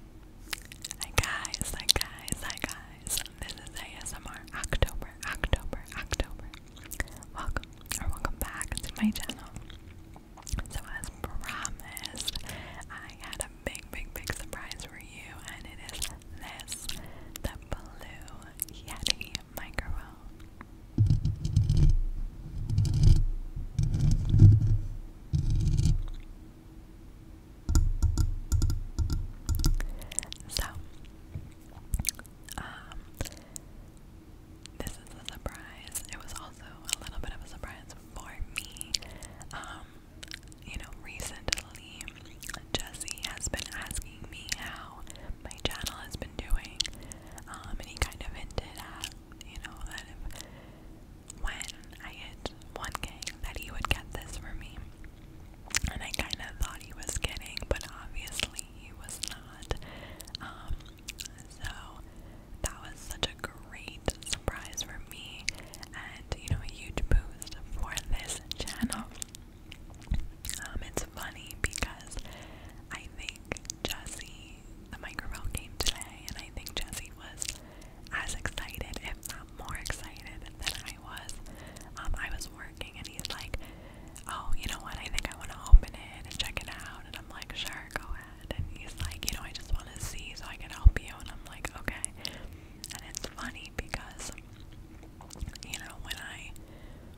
Hi guys, hi guys, hi guys. This is ASMR October, October, October. Welcome or welcome back to my channel. So as promised, I had a big, big, big surprise for you, and it is this, the blue Yeti microphone. So, um, this is a surprise. It was also a little bit of a surprise for me. Um, you know, recently Jesse has been asking me how my channel has been doing. Um, and he kind of hinted at, you know, that if when I hit one game, that he would get this for me. And I kind of thought he was kidding, but obviously he was not. Um, so that was such a great surprise for me and, you know, a huge boost for this channel. Um, it's funny because I I think Jesse, the microphone came today, and I think Jesse was as excited, if not more excited, than I was. Um, I was working, and he's like, "Oh, you know what? I think I want to open it and check it out." And I'm like, "Sure, go ahead." And he's like, "You know, I just want to see so I can help you." And I'm like, "Okay." And it's funny because, you know, when I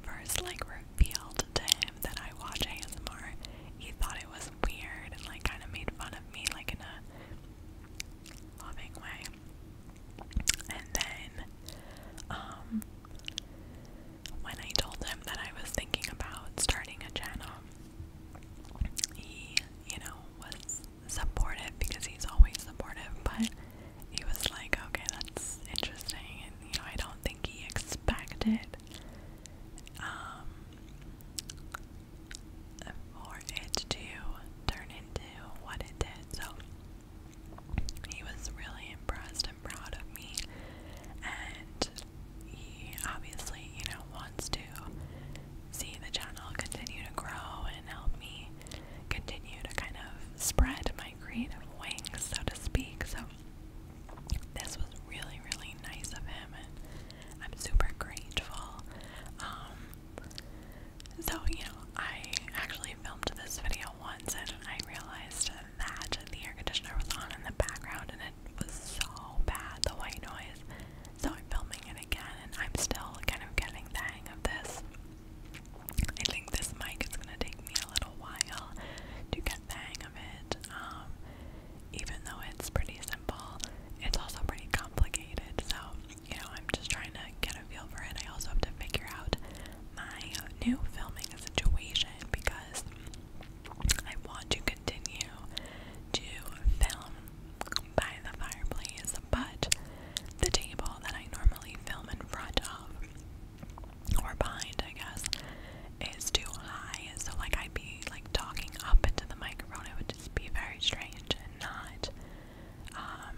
first like revealed to time that I watch ASMR, he thought it was weird and like kind of made fun of me like in a loving way. And then um when I told him that I was thinking about starting a channel, he, you know, was supportive because he's always supportive, but he was like, okay, that's interesting. And you know, I don't think he expected um for it to turn into what it did. So he was really impressed and proud of me and he obviously, you know, wants to see the channel continue to grow and help me continue to kind of spread my creative wings, so to speak. So this was really, really nice of him, and I'm super grateful. Um, so you know, I actually filmed this video once, and I realized that the air conditioner was on in the background, and it was so bad, the white noise. So I'm filming it again, and I'm still kind of getting the hang of this. I think this mic is gonna take me a little while to get the hang of it. Um, even though it's pretty simple, it's also pretty complicated. So, you know, I'm just trying to get a feel for it. I also have to figure out my new filming situation because I want to continue to film by the fireplace, but the table that I normally film in front of, or behind, I guess, is too high. So, like, I'd be like talking up into the microphone. It would just be very strange and not um,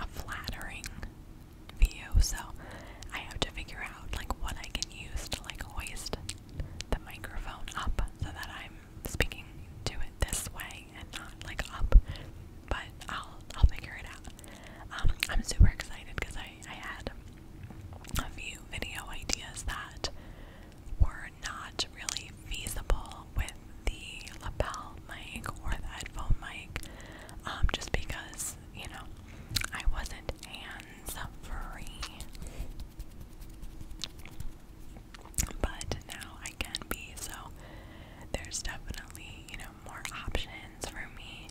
a flattering view. So, I have to figure out like what I can use to like hoist the microphone up so that I'm speaking to it this way and not like up, but I'll I'll figure it out. Um, I'm super excited because I I had a few video ideas that were not really feasible with the lapel mic or the headphone mic, um, just because you know I wasn't hands free but now I can be. So there's definitely, you know, more options for me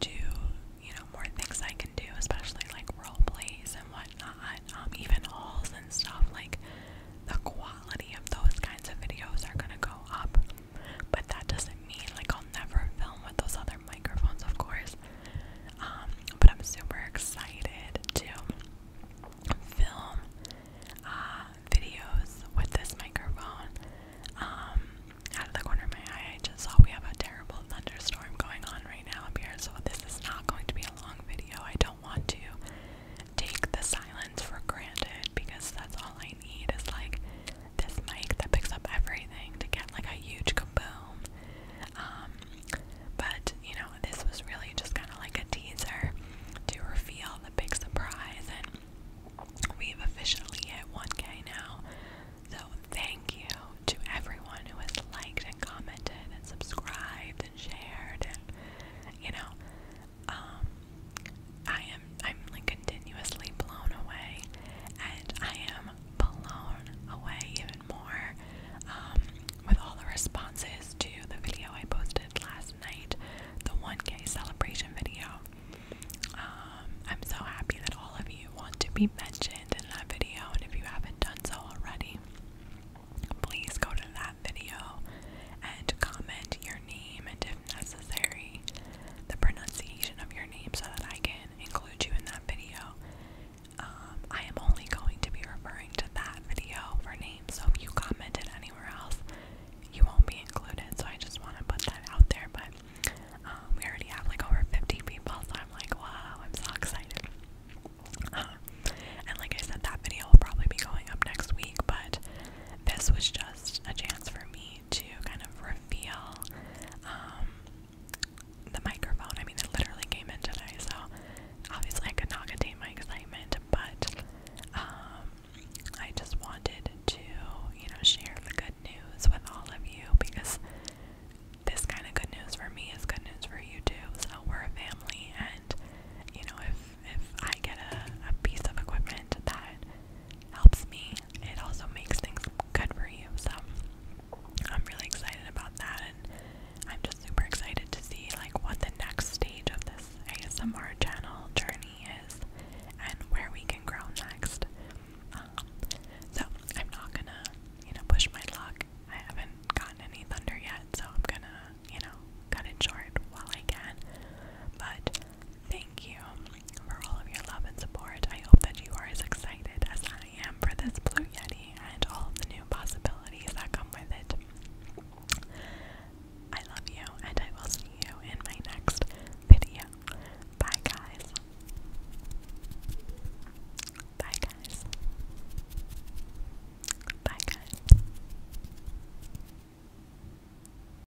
to, you know, more things I can do, especially like role plays and whatnot, um, even hauls and stuff. Like the quality of those kinds of videos are gonna go up, but that doesn't mean like I'll never film with those other microphones, of course. Um, but I'm super excited to film uh, videos with this microphone. Um, out of the corner of my eye, I just saw we have a terrible thunderstorm going on right now here, so this is not going to be a long video. I don't want to take the silence for granted because that's all I need is like this mic that picks up everything to get like a huge kaboom. Um, but you know, this was really just kind of like a teaser to reveal the big surprise, and we've officially hit 1K now. So thank you to everyone who has liked and commented and subscribed and shared, and you know, um, I am I'm like continuously blown away, and I am blown away even more um, with all the responses to the video I posted last night, the 1K celebration video. Um, I'm so happy that all of you want to be mentioned in that video, and if you haven't done so already, please go to that video and comment your name and, if necessary, the pronunciation of your name so that I can include you in that video. Um, I am only going to be referring to that video for names, so if you commented anywhere else, you won't be included. So I just want to put that out there. But um, we already have like over 50 people, so I'm like, wow, I'm so excited. Uh, and like I said, that video will probably be going up next week, but this was just a chance for me to kind of reveal um, the microphone. I mean, it literally came in today, so obviously I could not contain my excitement, but um, I just wanted to, you know, share the good news with all of you because this kind of good news for me is good news for you too. So we're a family, and you know, if if I get a piece of equipment that helps me it also makes things good for you. So I'm really excited about that, and I'm just super excited to see like what the next stage of this ASMR channel journey is, and where we can grow next. Um, so I'm not gonna, you know, push my luck. I haven't gotten any thunder yet, so I'm gonna, you know, cut it short while I can. But Thank you for all of your love and support. I hope that you are as excited as I am for this Blue Yeti and all of the new possibilities that come with it. I love you, and I will see you in my next video. Bye, guys. Bye, guys. Bye, guys.